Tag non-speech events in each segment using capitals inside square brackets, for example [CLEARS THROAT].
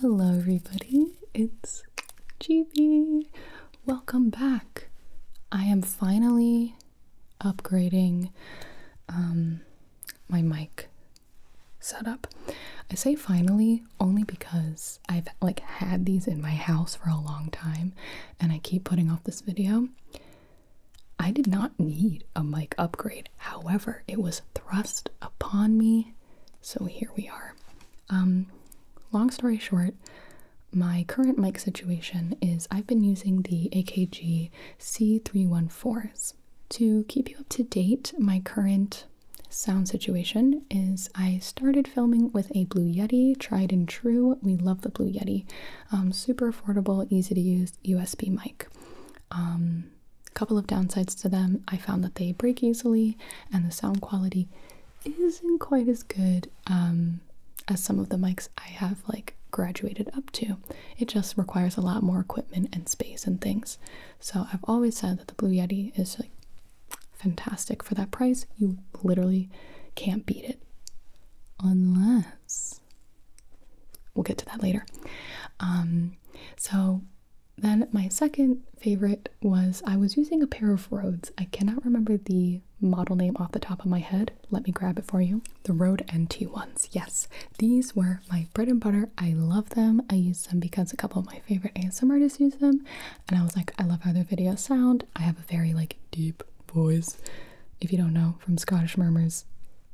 Hello, everybody, it's GB. Welcome back. I am finally upgrading um, my mic setup. I say finally only because I've like had these in my house for a long time and I keep putting off this video. I did not need a mic upgrade, however, it was thrust upon me so here we are. Um, long story short, my current mic situation is I've been using the AKG C314s. To keep you up to date, my current sound situation is I started filming with a Blue Yeti, tried and true. We love the Blue Yeti. Um, super affordable, easy to use USB mic. Um, a couple of downsides to them. I found that they break easily, and the sound quality isn't quite as good um, as some of the mics I have like graduated up to. It just requires a lot more equipment and space and things. So I've always said that the Blue Yeti is like fantastic for that price. You literally can't beat it, unless we'll get to that later. Um, so then my second favorite was I was using a pair of Rhodes. I cannot remember the model name off the top of my head. Let me grab it for you. The Rode NT ones. Yes, these were my bread and butter. I love them. I use them because a couple of my favorite ASMR artists use them, and I was like, I love how their videos sound. I have a very like deep voice. If you don't know from Scottish murmurs,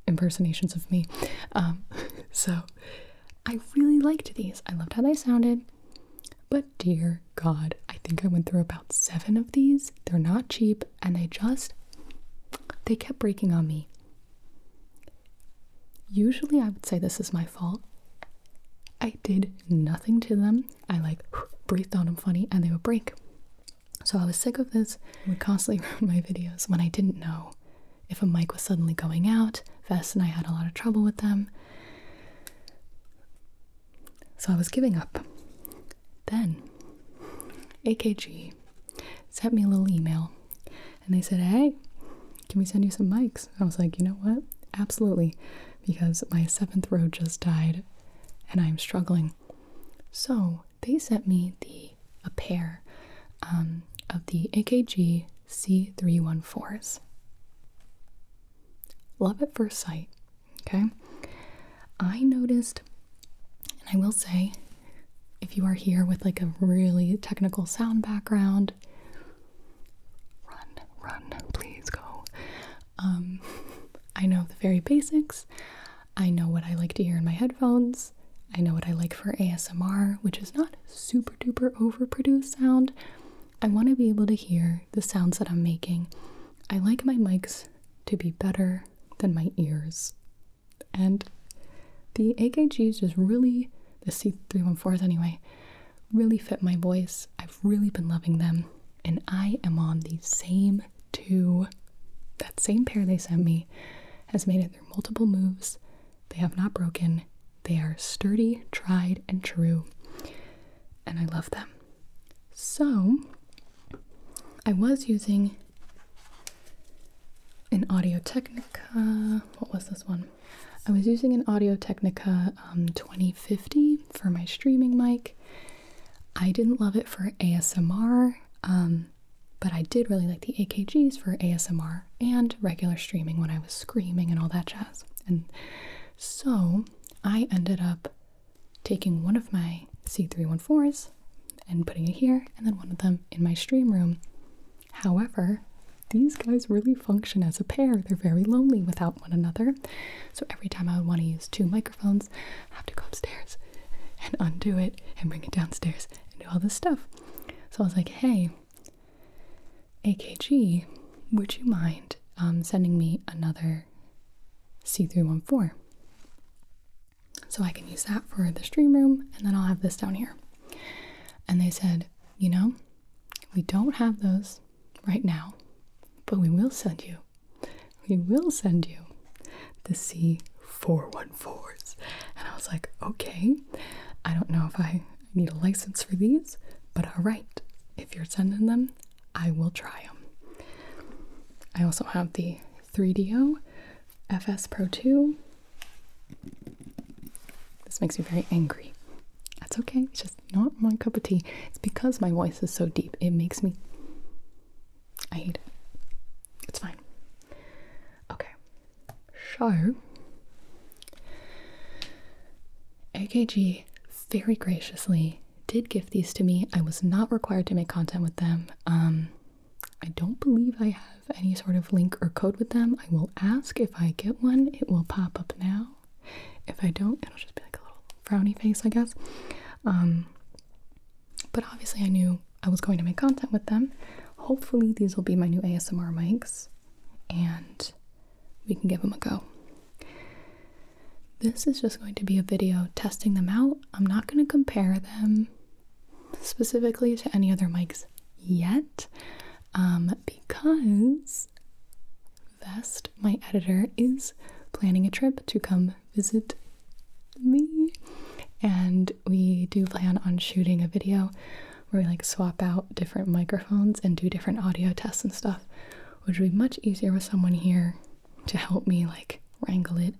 impersonations of me. Um, [LAUGHS] so I really liked these. I loved how they sounded. But dear God, I think I went through about seven of these. They're not cheap and they just, they kept breaking on me. Usually I would say this is my fault. I did nothing to them. I like breathed on them funny and they would break. So I was sick of this. It would constantly [LAUGHS] ruin my videos when I didn't know if a mic was suddenly going out. Vess and I had a lot of trouble with them. So I was giving up. Then AKG sent me a little email and they said, Hey, can we send you some mics? I was like, You know what? Absolutely, because my seventh row just died and I'm struggling. So they sent me the a pair. Um, of the AKG C314s. Love at first sight, okay? I noticed, and I will say, if you are here with like a really technical sound background, run, run, please go. Um, [LAUGHS] I know the very basics. I know what I like to hear in my headphones. I know what I like for ASMR, which is not super duper overproduced sound, I want to be able to hear the sounds that I'm making. I like my mics to be better than my ears. And the AKGs just really, the C314s anyway, really fit my voice. I've really been loving them. And I am on the same two, that same pair they sent me has made it through multiple moves. They have not broken. They are sturdy, tried, and true. And I love them. So, I was using an Audio Technica. What was this one? I was using an Audio Technica um, 2050 for my streaming mic. I didn't love it for ASMR, um, but I did really like the AKGs for ASMR and regular streaming when I was screaming and all that jazz. And so I ended up taking one of my C314s and putting it here, and then one of them in my stream room. However, these guys really function as a pair. They're very lonely without one another. So every time I would want to use two microphones, I have to go upstairs and undo it and bring it downstairs and do all this stuff. So I was like, hey, AKG, would you mind um, sending me another C314? So I can use that for the stream room, and then I'll have this down here. And they said, you know, we don't have those right now, but we will send you, we will send you the C414s. And I was like, okay, I don't know if I need a license for these, but all right, if you're sending them, I will try them. I also have the 3DO FS Pro 2. This makes me very angry. That's okay, it's just not my cup of tea. It's because my voice is so deep, it makes me. I hate it. It's fine. Okay, so AKG very graciously did give these to me. I was not required to make content with them. Um, I don't believe I have any sort of link or code with them. I will ask if I get one. It will pop up now. If I don't, it'll just be like a little frowny face, I guess. Um, but obviously, I knew I was going to make content with them. Hopefully, these will be my new ASMR mics. And we can give them a go. This is just going to be a video testing them out. I'm not going to compare them specifically to any other mics yet um, because Vest, my editor, is planning a trip to come visit me. And we do plan on shooting a video where we like swap out different microphones and do different audio tests and stuff, which would be much easier with someone here to help me like wrangle it,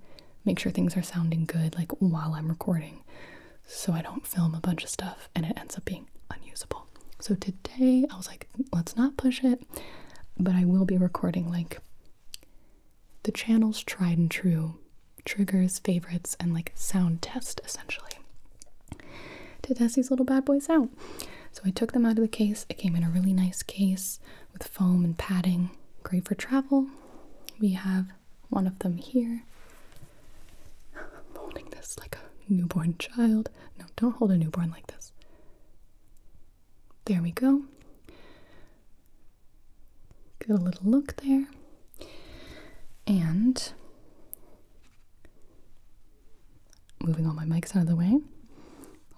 make sure things are sounding good like while I'm recording so I don't film a bunch of stuff and it ends up being unusable. So today I was like, let's not push it, but I will be recording like the channel's tried and true triggers, favorites, and like sound test essentially to test these little bad boys out. So I took them out of the case. It came in a really nice case with foam and padding, great for travel. We have one of them here. I'm holding this like a newborn child. No, don't hold a newborn like this. There we go. Get a little look there. And Moving all my mics out of the way.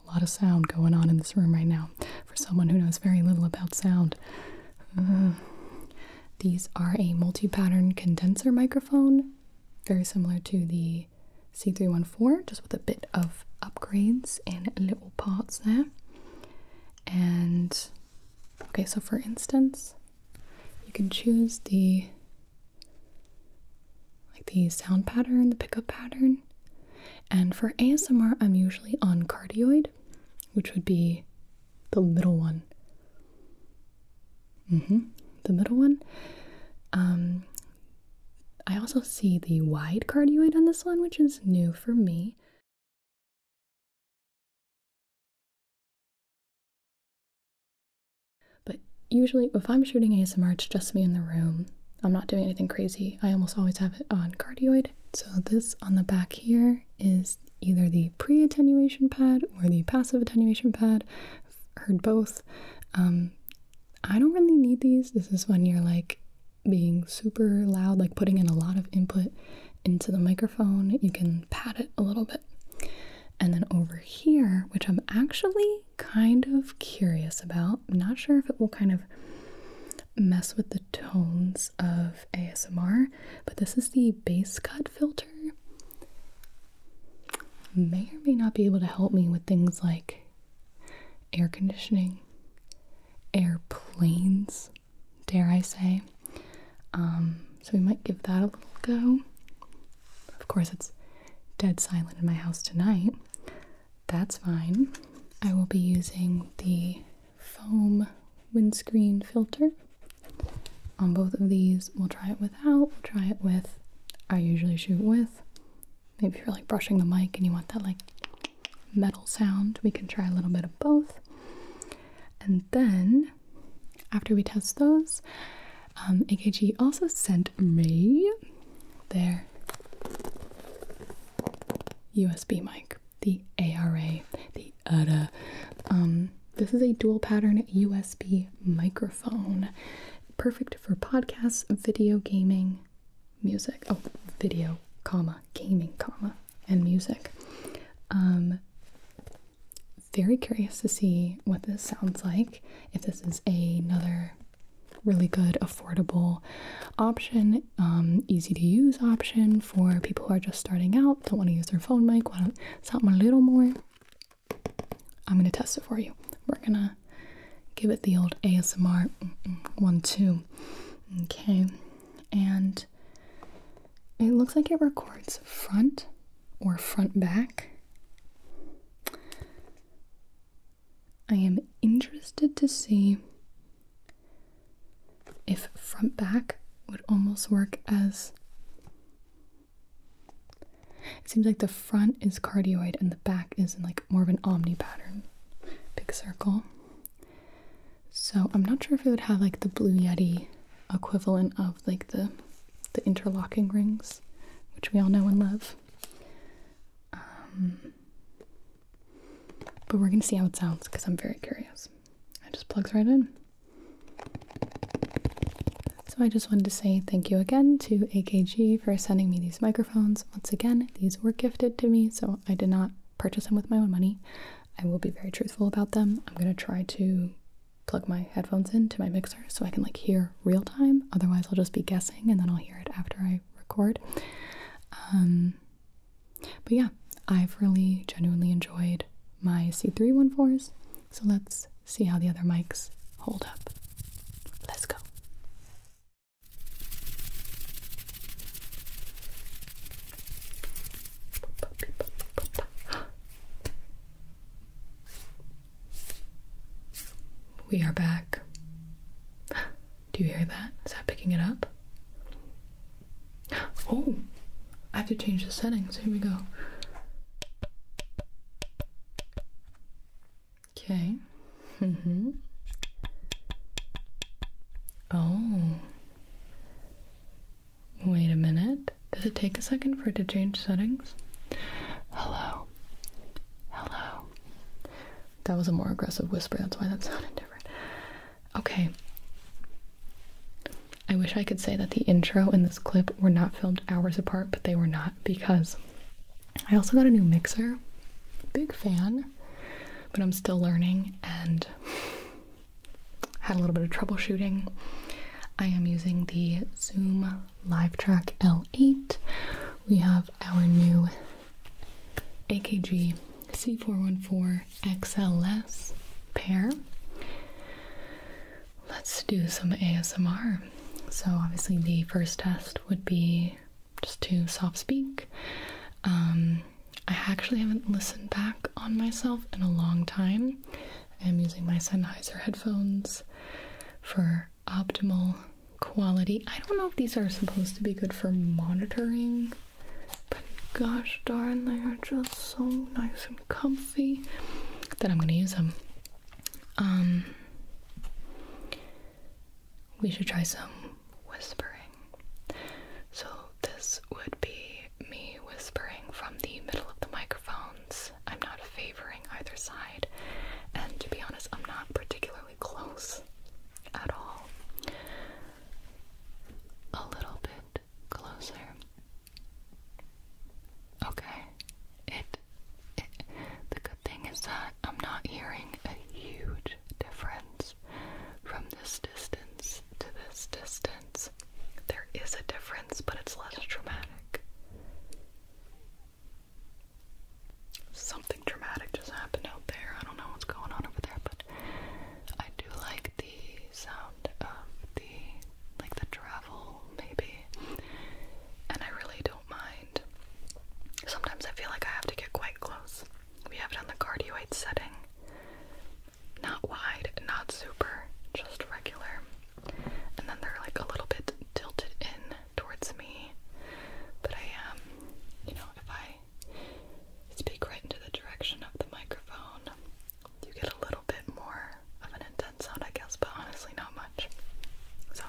A lot of sound going on in this room right now. For someone who knows very little about sound, mm. these are a multi pattern condenser microphone, very similar to the C314, just with a bit of upgrades and little parts there. And okay, so for instance, you can choose the like the sound pattern, the pickup pattern. And for ASMR, I'm usually on cardioid, which would be the middle one. Mm-hmm, the middle one. Um, I also see the wide cardioid on this one, which is new for me. But usually, if I'm shooting ASMR, it's just me in the room. I'm not doing anything crazy. I almost always have it on cardioid. So, this on the back here is either the pre attenuation pad or the passive attenuation pad. I've heard both. Um, I don't really need these. This is when you're like being super loud, like putting in a lot of input into the microphone. You can pad it a little bit. And then over here, which I'm actually kind of curious about. not sure if it will kind of mess with the tones of ASMR, but this is the bass cut filter. May or may not be able to help me with things like air conditioning, airplanes, dare I say. Um, so we might give that a little go. Of course, it's dead silent in my house tonight. That's fine. I will be using the foam windscreen filter on both of these. We'll try it without, we'll try it with. I usually shoot with. Maybe if you're like brushing the mic and you want that like metal sound, we can try a little bit of both. And then after we test those, um, AKG also sent me their USB mic, the ARA, the Uda. Um, this is a dual pattern USB microphone, perfect for podcasts, video gaming, music. Oh, video, comma, gaming, comma, and music. Um, very curious to see what this sounds like. If this is another really good, affordable option, um, easy to use option for people who are just starting out, don't want to use their phone mic, want to something a little more. I'm gonna test it for you. We're gonna give it the old ASMR one two. Okay, and it looks like it records front or front back. I am interested to see if front back would almost work as. It seems like the front is cardioid and the back is in like more of an omni pattern, big circle. So I'm not sure if it would have like the Blue Yeti equivalent of like the the interlocking rings, which we all know and love. Um, but we're gonna see how it sounds because I'm very curious. It just plugs right in. So I just wanted to say thank you again to AKG for sending me these microphones. Once again, these were gifted to me, so I did not purchase them with my own money. I will be very truthful about them. I'm gonna try to plug my headphones into my mixer so I can like hear real time. Otherwise, I'll just be guessing and then I'll hear it after I record. Um, but yeah, I've really genuinely enjoyed my c three one fours. So let's see how the other mics hold up. Let's go. We are back. [GASPS] Do you hear that? Is that picking it up? [GASPS] Oh, I have to change the settings. Here we go. Okay. Mm-hmm. Oh. Wait a minute. Does it take a second for it to change settings? Hello. Hello. That was a more aggressive whisper, that's why that [LAUGHS] sounded different. Okay. I wish I could say that the intro and this clip were not filmed hours apart, but they were not because I also got a new mixer. Big fan, but I'm still learning and had a little bit of troubleshooting. I am using the Zoom LiveTrack L8. We have our new AKG C414 XLS pair. Let's do some ASMR. So, obviously, the first test would be just to soft speak. Um, I actually haven't listened back on myself in a long time. I'm using my Sennheiser headphones for optimal quality. I don't know if these are supposed to be good for monitoring, but gosh darn, they are just so nice and comfy that I'm gonna use them. Um, we should try some whispering. So, this would be me whispering from the middle of the microphones I'm not favoring either side, and to be honest, I'm not particularly close at all. A little bit closer. Okay. It, it the good thing is that I'm not hearing a huge difference from this distance to this distance. There is a difference, but it's less dramatic. Something dramatic just happened out there. I don't know what's going on over there, but I do like the sound of the like the travel maybe. And I really don't mind. Sometimes I feel like I have to get quite close. We have it on the cardioid setting. Not wide, not super, just regular. And then they're like a little bit tilted in towards me, but I am, um, you know, if I speak right into the direction of the microphone, you get a little bit more of an intense sound, I guess, but honestly, not much. So,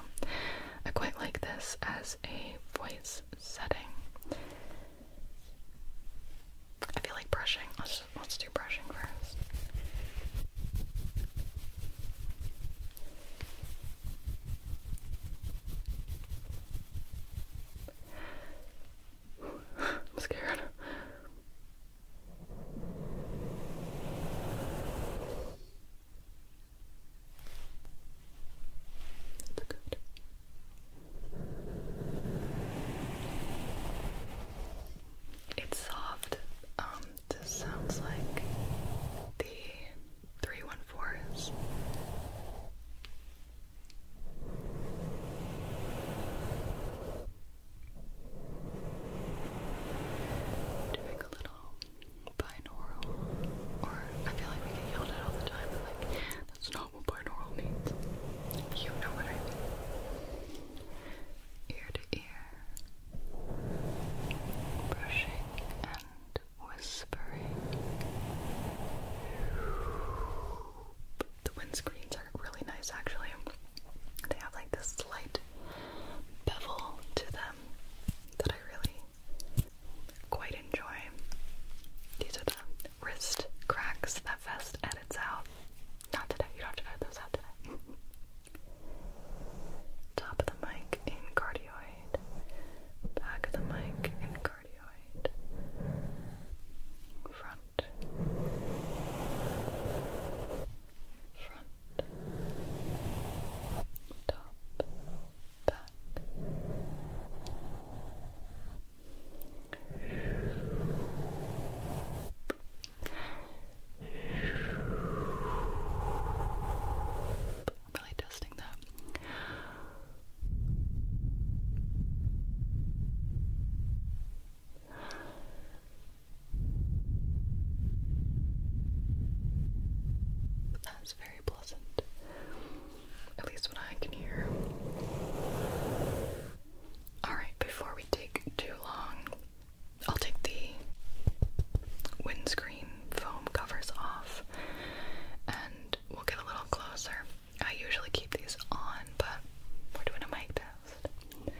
I quite like this as a voice setting. I feel like brushing. Let's let's do brushing first. I'm scared. It's good. It's soft. Um, this sounds like the 314s. Doing a little binaural, or I feel like we get yelled at all the time, but like, that's not what binaural means. You know what I mean. Ear to ear, brushing and whispering. The windscreens are really nice actually. They have like this slight bevel to them that I really quite enjoy. These are the wrist cracks that Vest edits out. Not today, you don't have to edit those out today. [LAUGHS] Top of the mic in cardioid cardioid, back of the mic in cardioid, front, front, top, back really testing that. That is very pleasant. At least what I can hear. Alright, before we take too long, I'll take the windscreen foam covers off and we'll get a little closer. I usually keep these on, but we're doing a mic test.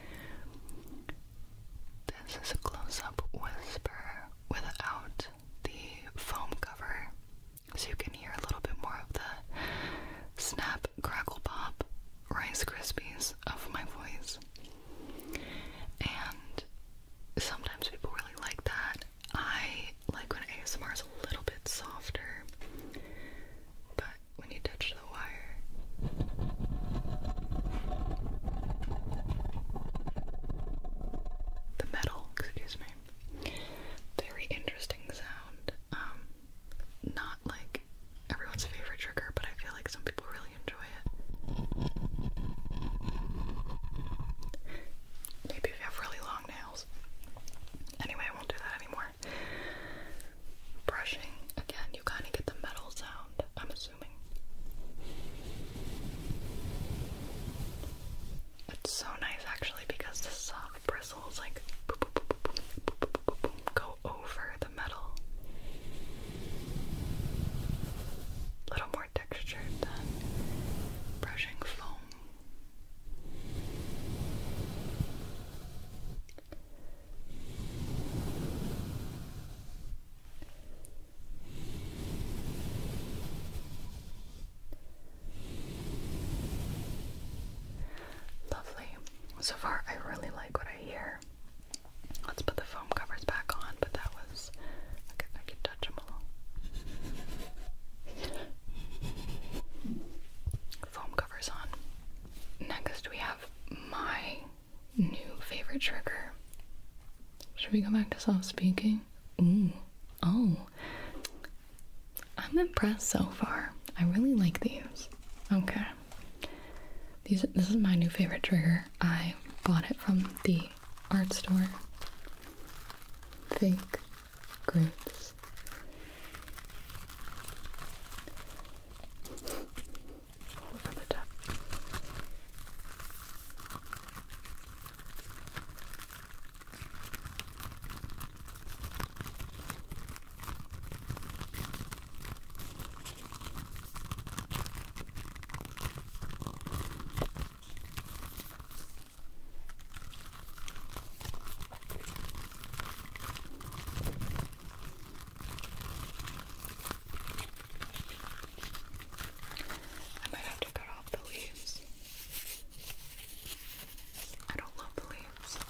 This is a close up whisper without the foam cover, so you can hear a little bit more of the snap, crackle, pop, Rice Krispies of my voice. And sometimes people really like that. I like when ASMR is a little bit softer, but when you touch the wire, the metal, excuse me, very interesting sound. Um, not like everyone's favorite trigger, but I feel like some people really enjoy it. Maybe if you have really long nails. Anyway, I won't do that anymore. Brushing, again, you kind of get the metal sound, I'm assuming. It's so nice actually because the soft bristles like go over the metal. A little more brushing foam. Lovely. So far, I really like what I hear. Let's put the foam covers back on, but that was should Foam covers on. Next, we have my new favorite trigger. Should we go back to soft speaking? Ooh. Oh. I'm impressed so far. I really like these. Okay. These this is my new favorite trigger. I bought it from the art store. Fake grapes. Over the top. I might have to cut off the leaves. I don't love the leaves.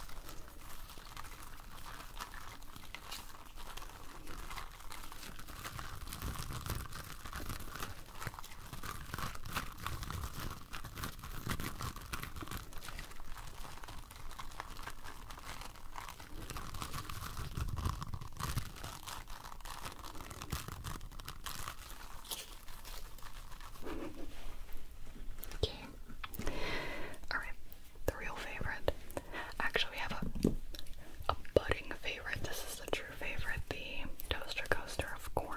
Okay. Alright, the real favorite. Actually, we have a a budding favorite. This is the your favorite, the toaster coaster, of course.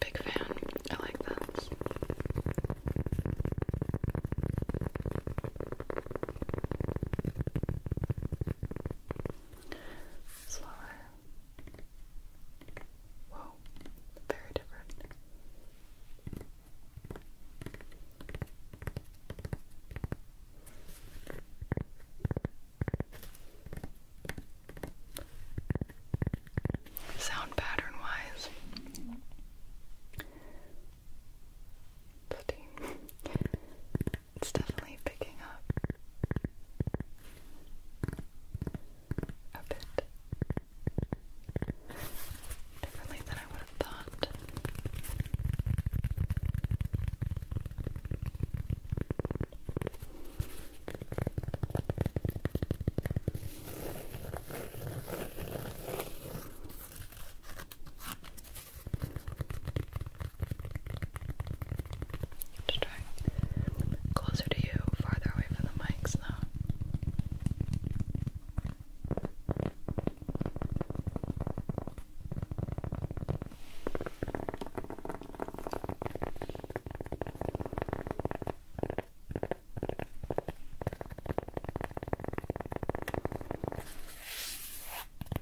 Big fan. I like that. Slower. Whoa, very different. Sound pattern wise, steam. It's definitely picking up a bit differently than I would have thought. Just trying closer to you, farther away from the mics now.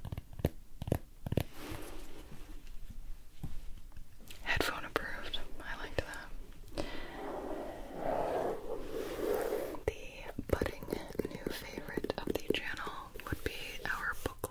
Okay. Headphone approved. I liked that. The budding new favorite of the channel would be our book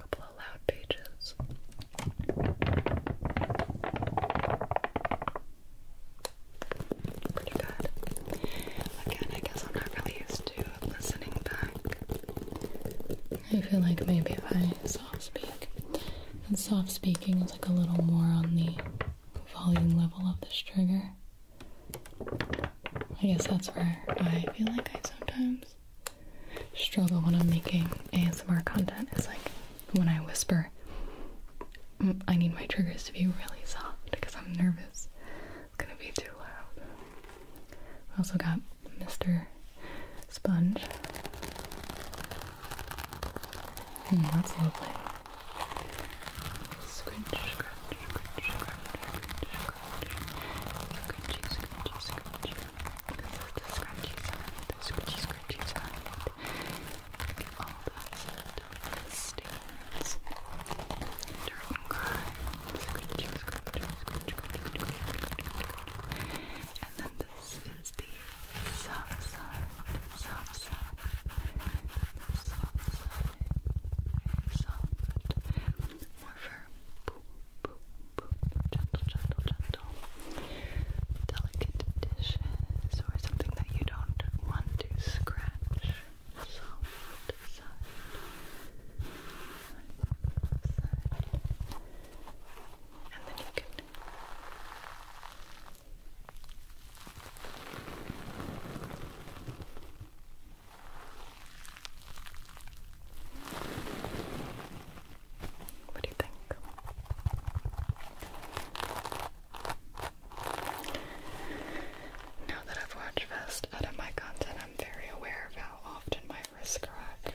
A couple of loud pages. Pretty good. Again, I guess I'm not really used to listening back. I feel like maybe if I soft speak, and soft speaking is like a little more on the volume level of this trigger. I guess that's where I feel like I sometimes struggle when I'm making ASMR content. Is like when I whisper, mm, I need my triggers to be really soft because I'm nervous. It's gonna be too loud. also got Mr. Sponge. Mm, that's lovely. Scrunch, scrunch, scrunch, scrunch, scrunch, scrunch, scrunch, scrunch. The scrunchies on it, the scrunchy scrunchies on it. All that stuff stands. Don't cry. Scrunchy, scrunchy, scrunchy, scrunchy, scrunchy, scrunchy. And then this is the soft, soft, soft, soft, soft, soft, soft, more firm, boom, boom, boom, gentle, gentle, gentle, delicate dishes or something that you don't want to scratch, soft, soft, And then you can what do you think? Now that I've watched Vest out of my content, I'm very aware of how often my wrist crack.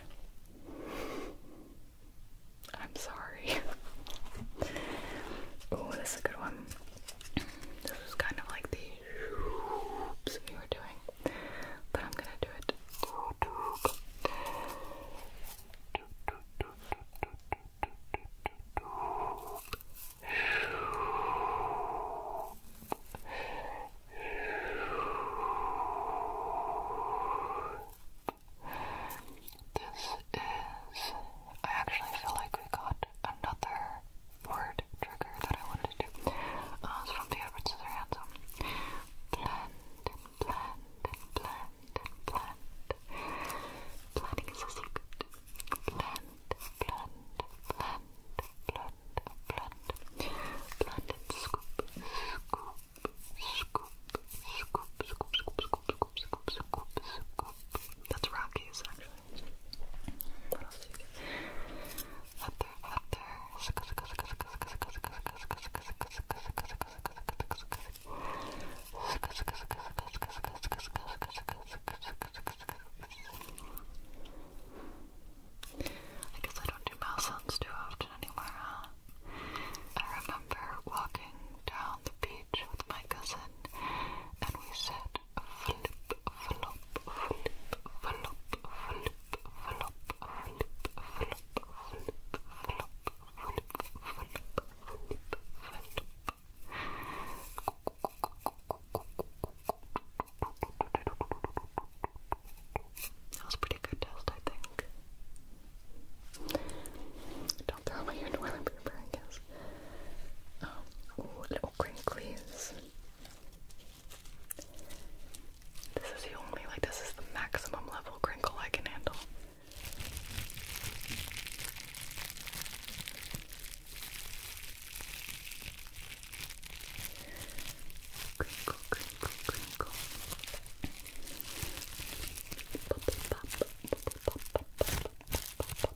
I'm sorry. [LAUGHS] oh, this is a good one um, this is kind of like the oops you were doing, but I'm gonna do it. This is. I actually feel like we got another word trigger that I wanted to do. Uh, it's from the Edward Scissorhands. Blend, blend, blend, blend. Blending is a secret. Blend, blend, blend, blend, blend. Blend and scoop, scoop, scoop, scoop, scoop, scoop, scoop, scoop, scoop, scoop, scoop, That's Rockies, actually. What else did you I guess I don't do mouse sounds too often anymore, I remember walking down on the beach with my cousin and we said flip, flop, flip, flop, flip, flop, flip, flop, flip, flop, flip, flop, flip, flop. That was a pretty good test, I think. Don't throw away your toilet I guess. Um, little crinklies. This is the only, like, this is the maximum level crinkle I can handle. Crinkle, crinkle, crinkle. Pop,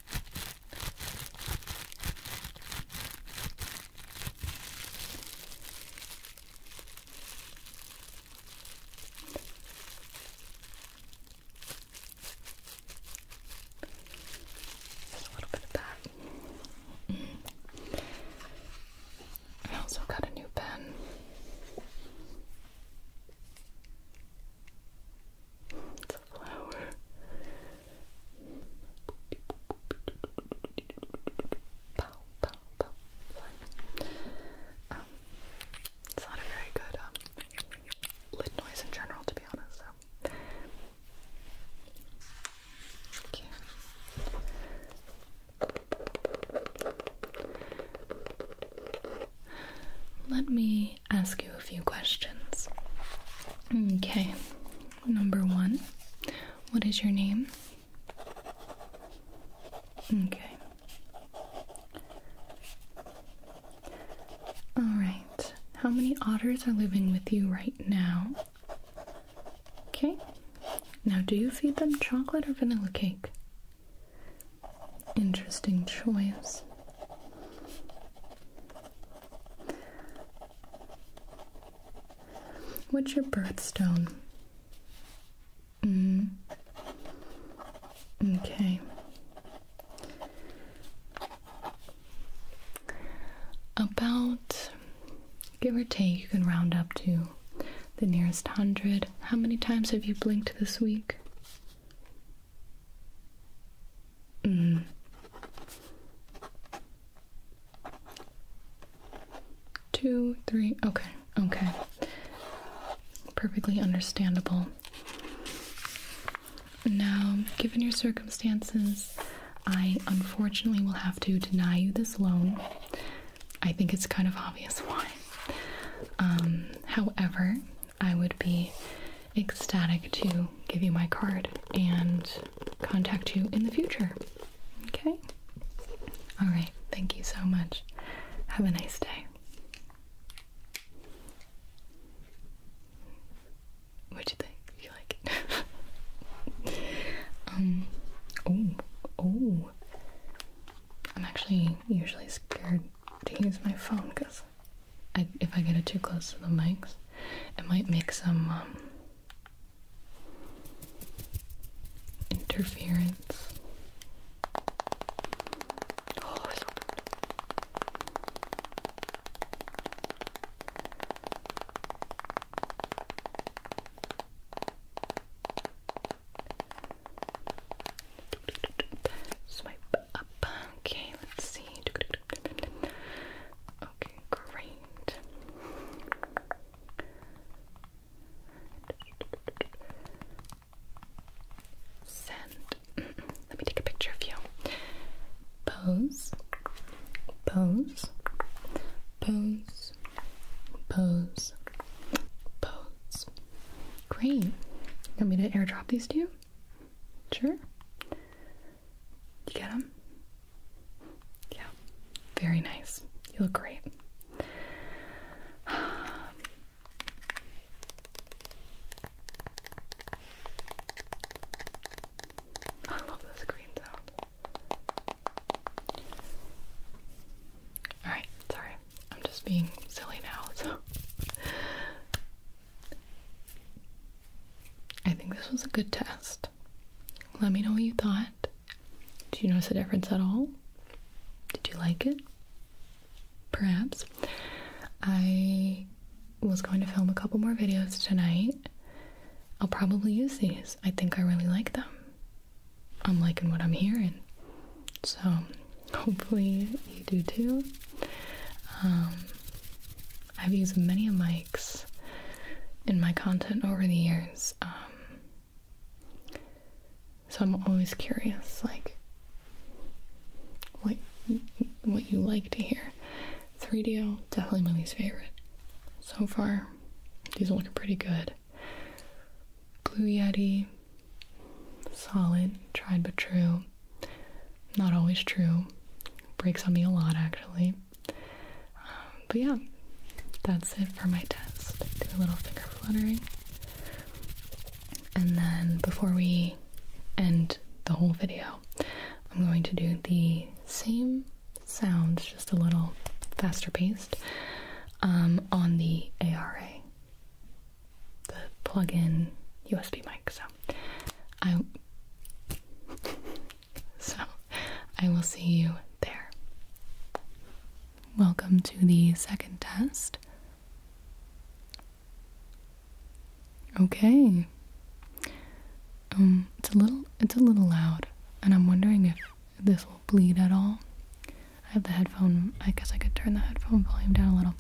Just a little bit of that. Mm. I also got a new pen. It's a flower. Pow, pow, pow. Um, it's not a very good um, lid noise in general, to be honest. So. Okay. Let me ask you a few questions. Okay, number one, what is your name? Okay. Alright, how many otters are living with you right now? Okay, now do you feed them chocolate or vanilla cake? Interesting choice. What's your birthstone? Mm. Okay. About give or take, you can round up to the nearest hundred. How many times have you blinked this week? Two, three. Okay, okay. Perfectly understandable. Now, given your circumstances, I unfortunately will have to deny you this loan. I think it's kind of obvious why. Um, however, I would be ecstatic to give you my card and contact you in the future. Okay? All right. Thank you so much. Have a nice day. what do you think? You like it? [LAUGHS] um, oh, oh. I'm actually usually scared to use my phone because if I get it too close to the mics, it might make some um, interference. Oh, Swipe up. Okay, let's see. Okay, Great. Send. [CLEARS THROAT] Let me take a picture of you. Pose. Pose. Pose. Pose. Pose. Great. want me to airdrop these to you? Sure. You get them? Yeah, very nice. You look great. [SIGHS] I love this green sound. Alright, sorry. I'm just being silly now, so. I think this was a good test. Let me know what you thought. Did you notice a difference at all? Did you like it? Perhaps. I was going to film a couple more videos tonight. I'll probably use these. I think I really like them. I'm liking what I'm hearing. So [LAUGHS] hopefully you do too. Um, I've used many mics in my content over the years. Um, so I'm always curious, like what what you like to hear. 3DO d definitely my least favorite. So far, these are looking pretty good. Blue Yeti, solid, tried but true. Not always true. Breaks on me a lot, actually but yeah, that's it for my test. Do a little finger fluttering. And then before we end the whole video, I'm going to do the same sounds, just a little faster paced, um, on the ARA, the plug in USB mic. So I so I will see you there. Welcome to the second test. Okay. Um it's a little it's a little loud and I'm wondering if this will bleed at all. I have the headphone I guess I could turn the headphone volume down a little.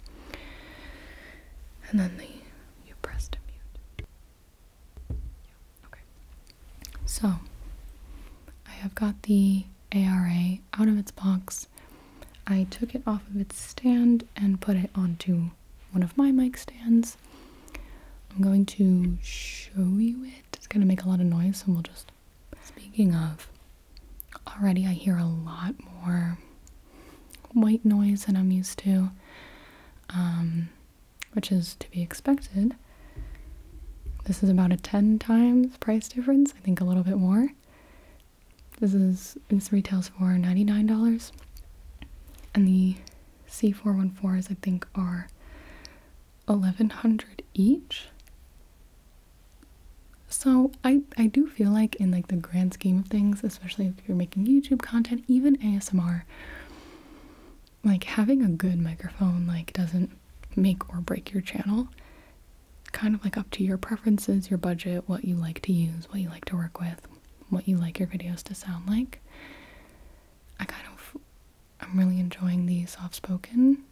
And then the you pressed to mute. So, I have got the ARA out of its box. I took it off of its stand and put it onto one of my mic stands. I'm going to show you it. It's going to make a lot of noise, and we'll just. Speaking of, already I hear a lot more white noise than I'm used to. Um, which is to be expected. This is about a 10 times price difference, I think a little bit more. This is this retails for $99. And the C414s I think are 1100 each. So I I do feel like in like the grand scheme of things, especially if you're making YouTube content, even ASMR, like having a good microphone like doesn't make or break your channel. Kind of like up to your preferences, your budget, what you like to use, what you like to work with, what you like your videos to sound like. I kind of I'm really enjoying the soft spoken.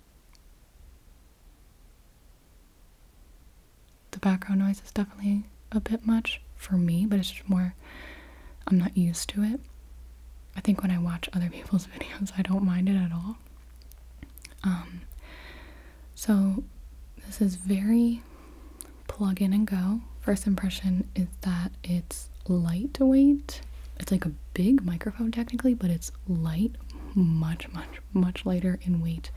The background noise is definitely a bit much for me, but it's just more I'm not used to it. I think when I watch other people's [LAUGHS] videos, I don't mind it at all. Um, so this is very plug in and go. First impression is that it's lightweight. It's like a big microphone technically, but it's light, much, much, much lighter in weight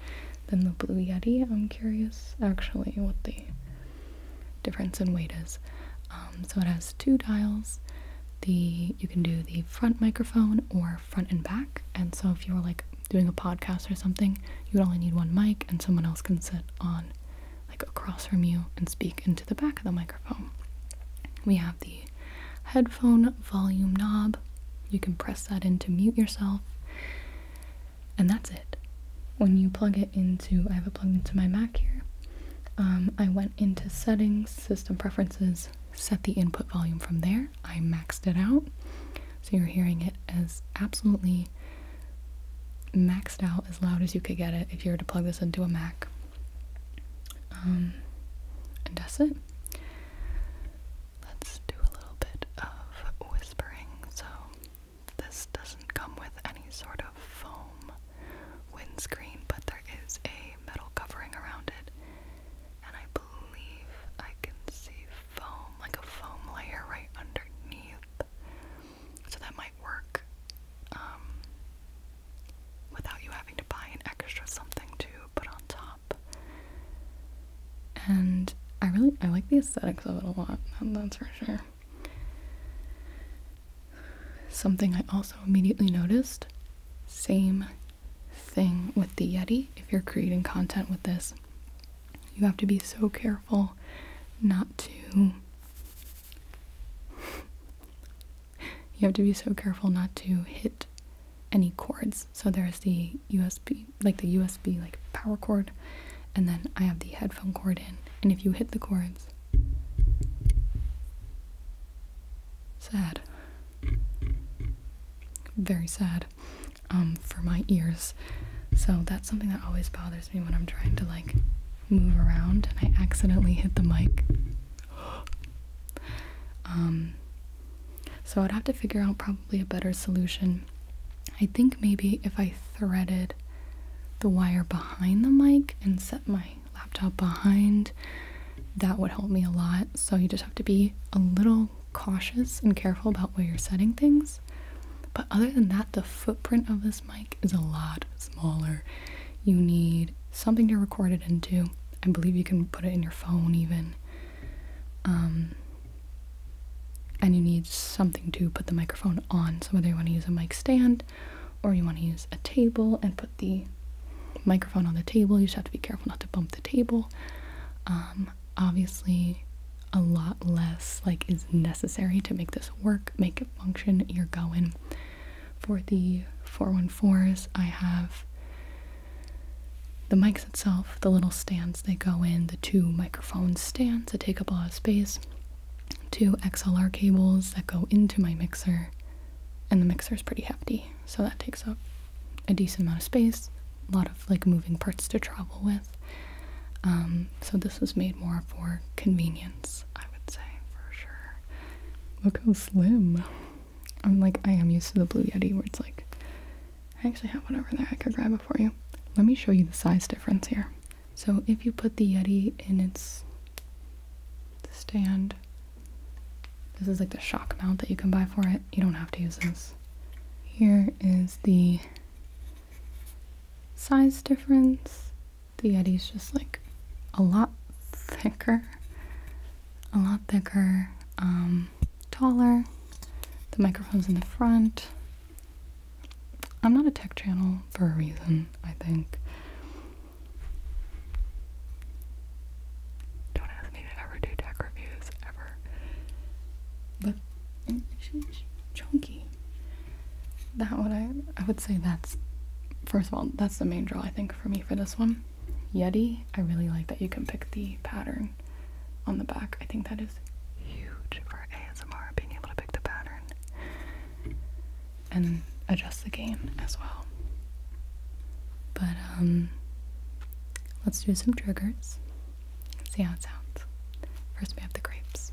than the Blue Yeti. I'm curious actually what the difference in weight is. Um, so it has two dials. The you can do the front microphone or front and back. And so if you were like doing a podcast or something, you would only need one mic, and someone else can sit on like across from you and speak into the back of the microphone. We have the headphone volume knob. You can press that in to mute yourself. And that's it. When you plug it into, I have it plugged into my Mac here. Um, I went into settings, system preferences, set the input volume from there. I maxed it out. So you're hearing it as absolutely maxed out as loud as you could get it if you were to plug this into a Mac. Um, and that's it. Let's do a little bit of whispering. So this doesn't come with any sort of foam windscreen, but there is a metal covering around it. And I believe I can see foam, like a foam layer right underneath. So that might work um, without you having to buy an extra something to put on top. And I really I like the aesthetics of it a lot, that's for sure. Something I also immediately noticed same thing with the Yeti. If you're creating content with this, you have to be so careful not to. You have to be so careful not to hit any cords. So there's the USB, like the USB, like power cord, and then I have the headphone cord in. And if you hit the cords, sad. Very sad um, for my ears. So that's something that always bothers me when I'm trying to like move around and I accidentally hit the mic. [GASPS] um, so I'd have to figure out probably a better solution. I think maybe if I threaded the wire behind the mic and set my laptop behind, that would help me a lot. So you just have to be a little cautious and careful about where you're setting things. But other than that, the footprint of this mic is a lot smaller. You need something to record it into. I believe you can put it in your phone even. Um, and you need something to put the microphone on. So whether you want to use a mic stand or you want to use a table and put the microphone on the table you just have to be careful not to bump the table um, obviously a lot less like is necessary to make this work make it function you're going for the 414s i have the mics itself the little stands they go in the two microphone stands that take up a lot of space two XLR cables that go into my mixer, and the mixer is pretty hefty, so that takes up a decent amount of space, a lot of like moving parts to travel with. Um, so this was made more for convenience, I would say for sure. Look how slim. I'm like I am used to the Blue Yeti where it's like I actually have one over there I could grab it for you. Let me show you the size difference here. So if you put the Yeti in its stand, this is like the shock mount that you can buy for it. You don't have to use this. Here is the size difference. The Yeti's just like a lot thicker, a lot thicker, um, taller. The microphone's in the front. I'm not a tech channel for a reason, I think. Don't ask me to ever do deck reviews ever. But chunky. That would I I would say that's first of all, that's the main draw I think for me for this one. Yeti, I really like that you can pick the pattern on the back. I think that is huge for ASMR being able to pick the pattern and adjust the gain as well. But um, let's do some triggers and see how it sounds. First, we have the grapes.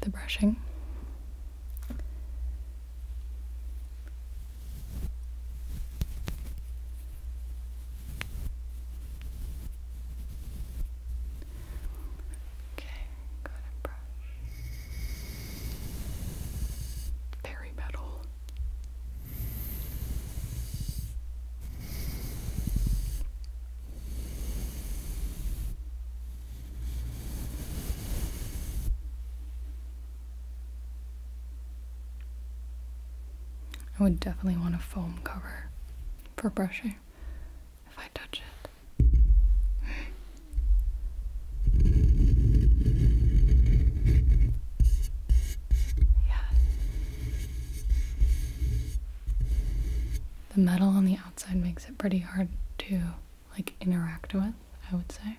the brushing. Okay, got a brush. Perimetal. I would definitely want a foam cover for brushing if I touch it. Yeah. The metal on the outside makes it pretty hard to like interact with, I would say.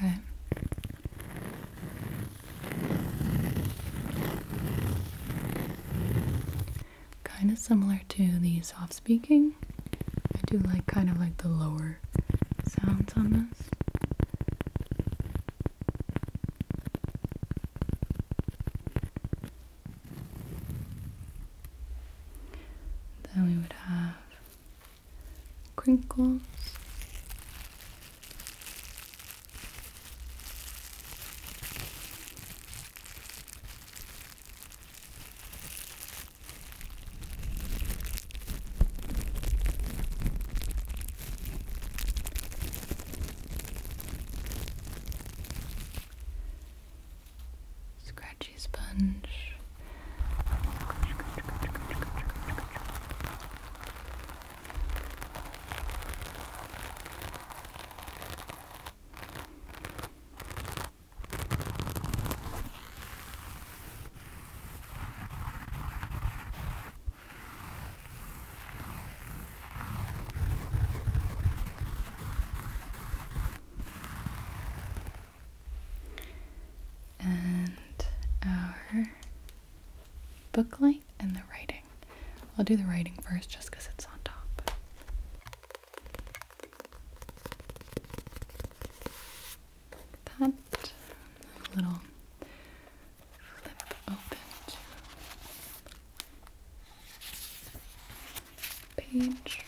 Okay. Kind of similar to the soft speaking. I do like kind of like the lower sounds on this. Then we would have crinkles. Scratchy sponge. Scratchy and our book light and the writing. I'll do the writing first just because it's on top. that. little flip open page.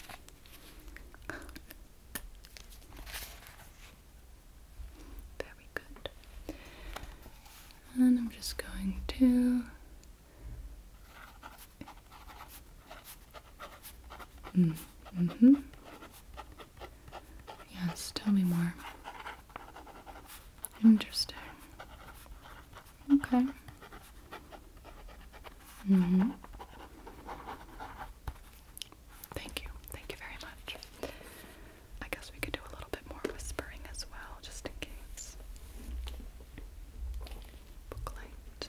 Very good. And I'm just going to. Mm, mm hmm Yes, tell me more. Interesting. Okay. Mm hmm Thank you. Thank you very much. I guess we could do a little bit more whispering as well, just in case. Booklight.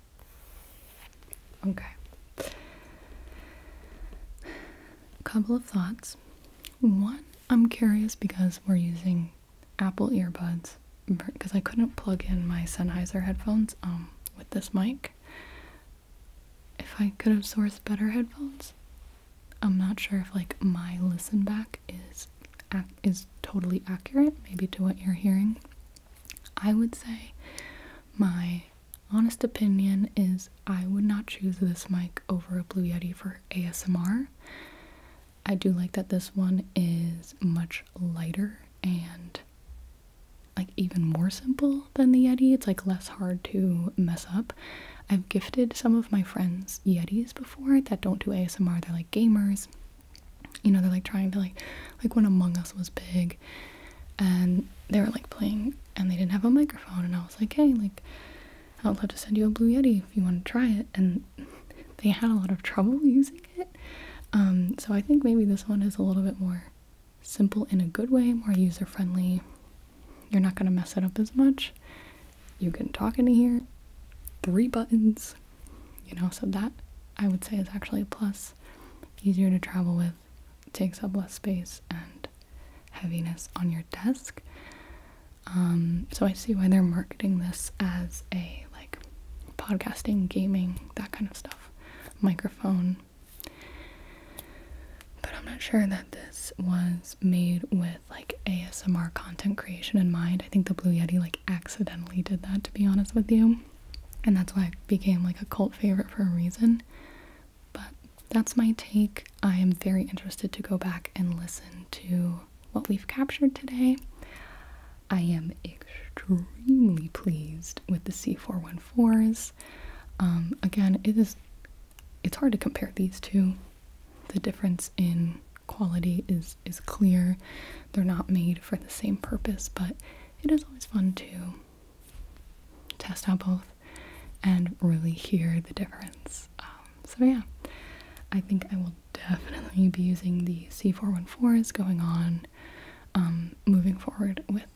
Okay. A couple of thoughts. One, I'm curious because we're using Apple earbuds because I couldn't plug in my Sennheiser headphones um, with this mic. If I could have sourced better headphones, I'm not sure if like my listen back is is totally accurate, maybe to what you're hearing. I would say my honest opinion is I would not choose this mic over a Blue Yeti for ASMR. I do like that this one is much lighter and like even more simple than the Yeti. It's like less hard to mess up. I've gifted some of my friends Yetis before that don't do ASMR. They're like gamers. You know, they're like trying to like like when Among Us was big and they were like playing and they didn't have a microphone and I was like, hey, like I would love to send you a Blue Yeti if you want to try it and [LAUGHS] they had a lot of trouble [LAUGHS] using it. Um, so I think maybe this one is a little bit more simple in a good way, more user friendly. You're not gonna mess it up as much. You can talk into here. Three buttons, you know, so that I would say is actually a plus. Easier to travel with takes up less space and heaviness on your desk. Um, so I see why they're marketing this as a like podcasting, gaming, that kind of stuff, microphone. But I'm not sure that this was made with like ASMR content creation in mind. I think the Blue Yeti like accidentally did that to be honest with you and that's why it became like a cult favorite for a reason. But that's my take. I am very interested to go back and listen to what we've captured today. I am extremely pleased with the C414s. Um, again, it is it's hard to compare these two. The difference in quality is is clear. They're not made for the same purpose, but it is always fun to test out both and really hear the difference. Um, so, yeah, I think I will definitely be using the C414s going on um, moving forward with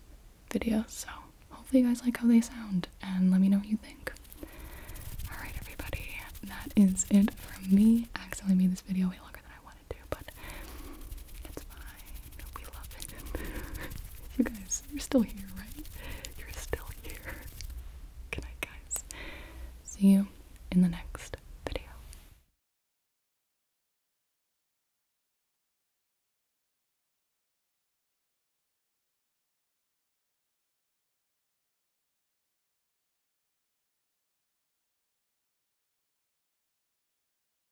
videos. So, hopefully, you guys like how they sound and let me know what you think. Alright, everybody, that is it from me. I accidentally made this video way longer than I wanted wanted but it's fine. We love it. [LAUGHS] you guys, you're still here, right? You're still here. Good guys. See you in the next video.